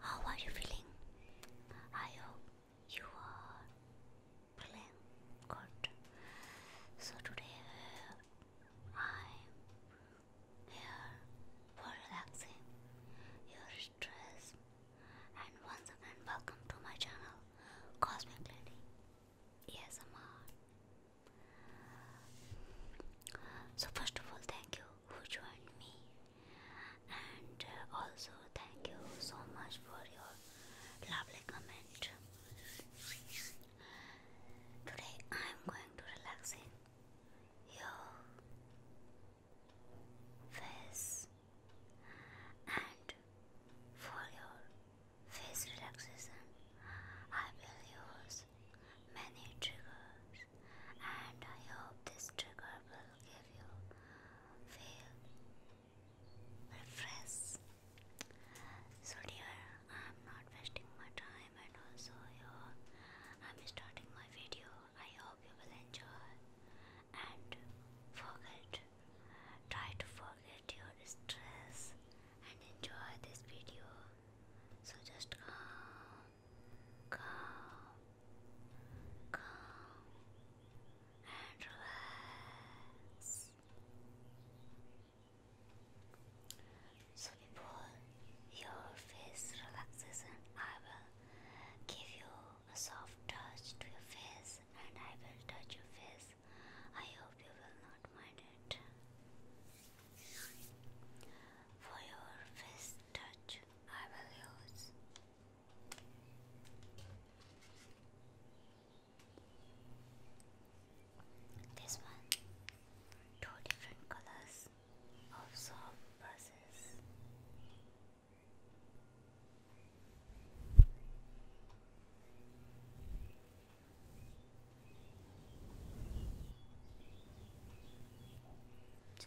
How are you feeling? I hope you are feeling good. So today I'm here for relaxing your stress. And once again, welcome to my channel, Cosmic Lady. Yes, So first of all, thank you who joined me and uh, also thank you so much for your lovely comment today I am going to relaxing your face and for your face relaxation I will use many triggers and I hope this trigger will give you feel refresh. So dear, I'm not wasting my time and also your I'm starting my video. I hope you will enjoy and forget. Try to forget your stress and enjoy this video. So just calm calm, calm, and relax. So before your face relaxes, and I will give you a soft touch to your face, and I will touch your face. I hope you will not mind it. For your face touch, I will This one, two different colors of soft buses.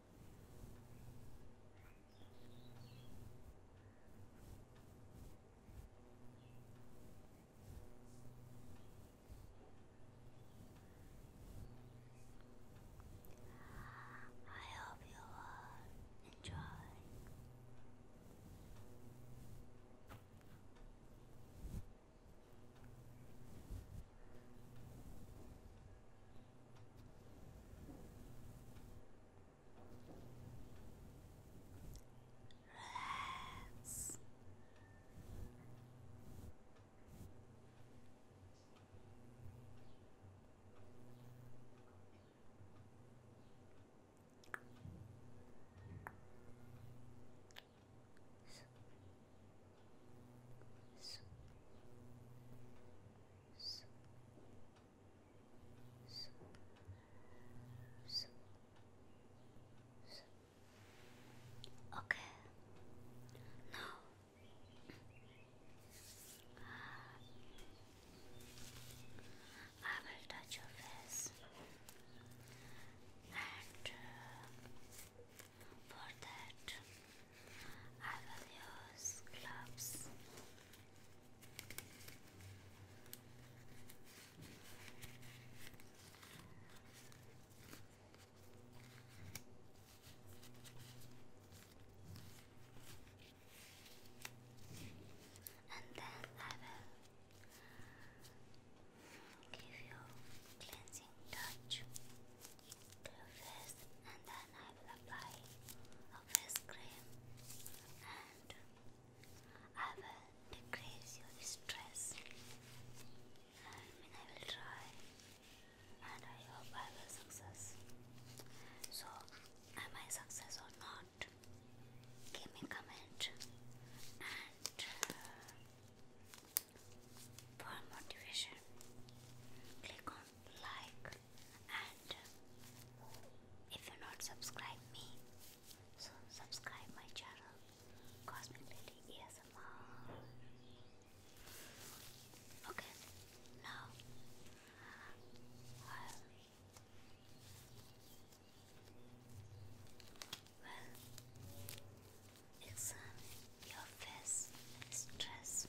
I hope you enjoy. Relax. So, so, Okay. Now I will touch your face, and uh, for that I will use gloves. And then I will give you cleansing touch through face and then I will apply a face cream and I will decrease your stress. I I will try and I hope I will success. So am I success or not? Give me comment and uh, for motivation click on like and uh, if you're not subscribe me so subscribe my channel Cosmic Lady ASMR okay now um, well examine uh, your face stress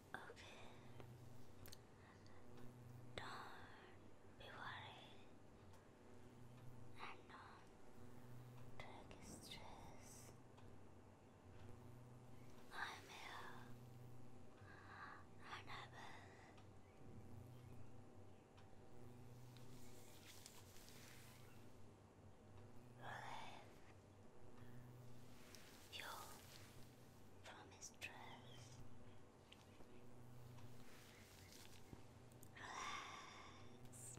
Okay. Don't be worried. And don't take stress. I'm here. And I will. Relief you promised dress. Relax. Relax.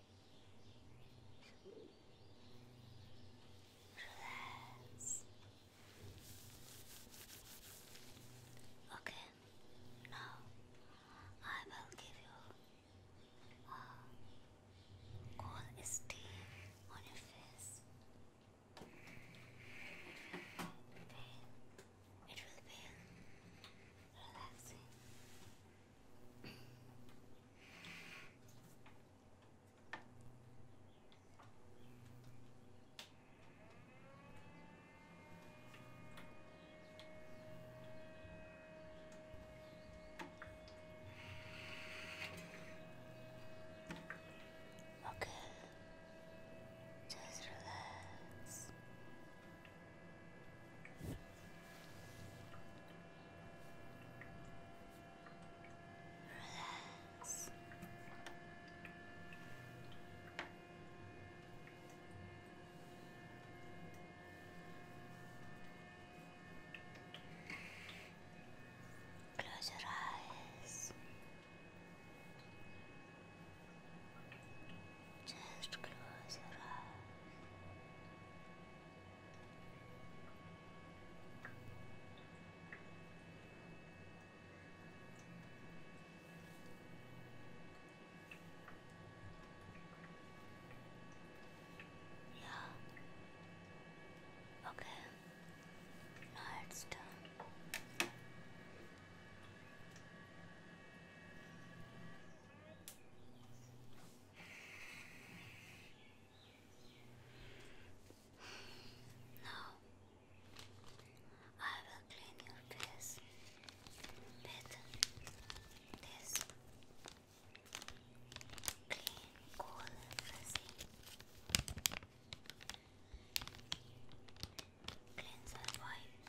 Relax. Okay, now I will give you a cold steam on your face. It will be relaxing. Okay, just relax. Relax. Close your eyes. Just close your eyes. Yeah. Okay. Now it's now, I will clean your face with this clean, cool resin cleanser wipe.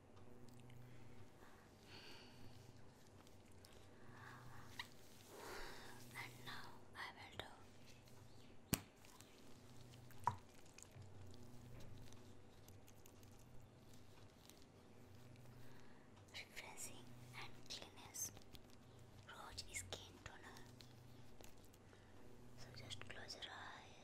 and now I will do refreshing and cleanness rose skin toner. So just close your eyes.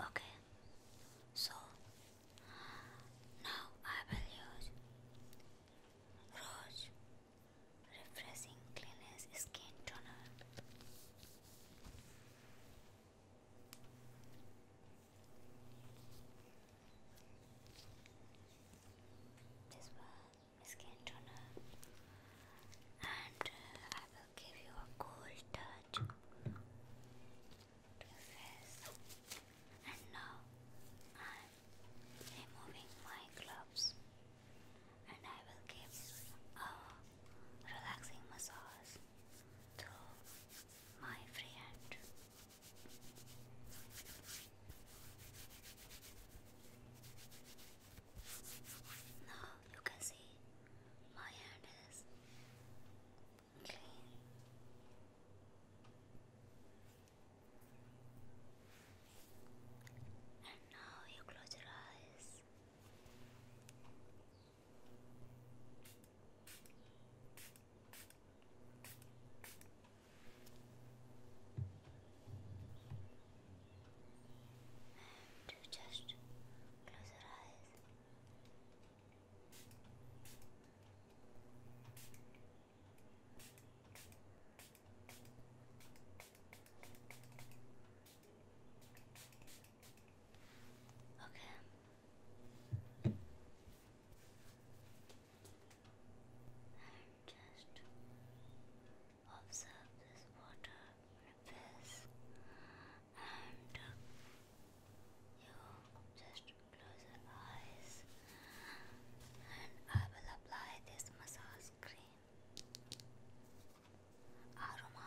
Okay, so now I will use Rose Refreshing Cleanest Skin Toner. This skin toner, and uh, I will give you a cold touch to your face. And now I'm removing my gloves and I will give a relaxing massage through my free Now you can see my hand is clean. And now you close your eyes and just close your eyes. Okay. And just observe this water ripples and uh, you just close your eyes and I will apply this massage cream. Aroma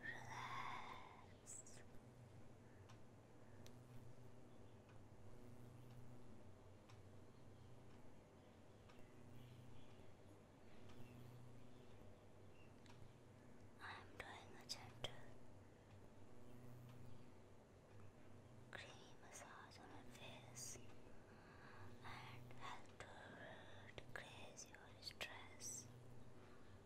Relax. I'm doing a gentle creamy massage on her face and help to decrease your stress.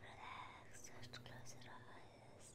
Relax, just close your eyes. Relax,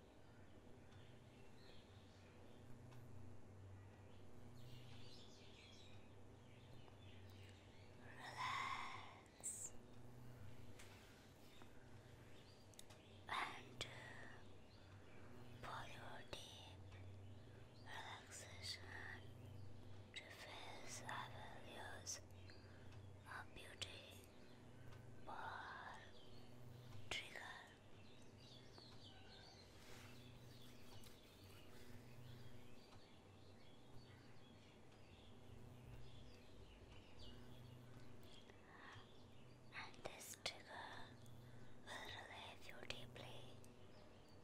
Relax and for your deep relaxation to face I will use a beauty ball trigger. And this trigger will relieve you deeply,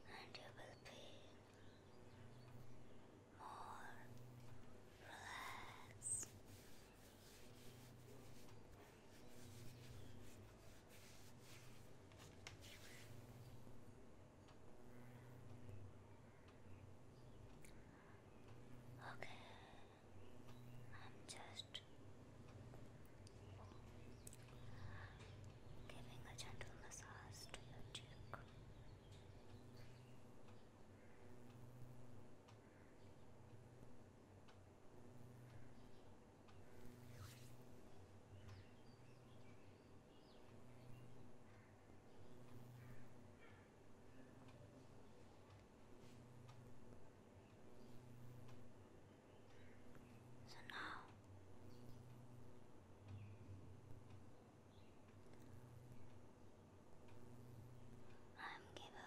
and you will be more relaxed. Okay, I'm just giving a gentle massage to your cheek. So now I'm given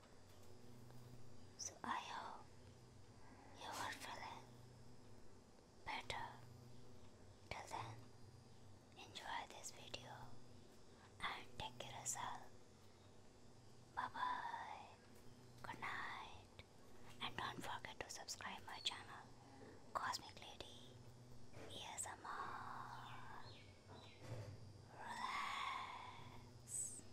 So I hope you are feeling better. Till then, enjoy this video and take care of Bye bye. Good night. And don't forget to subscribe my channel, Cosmic Lady. Yes, i Relax.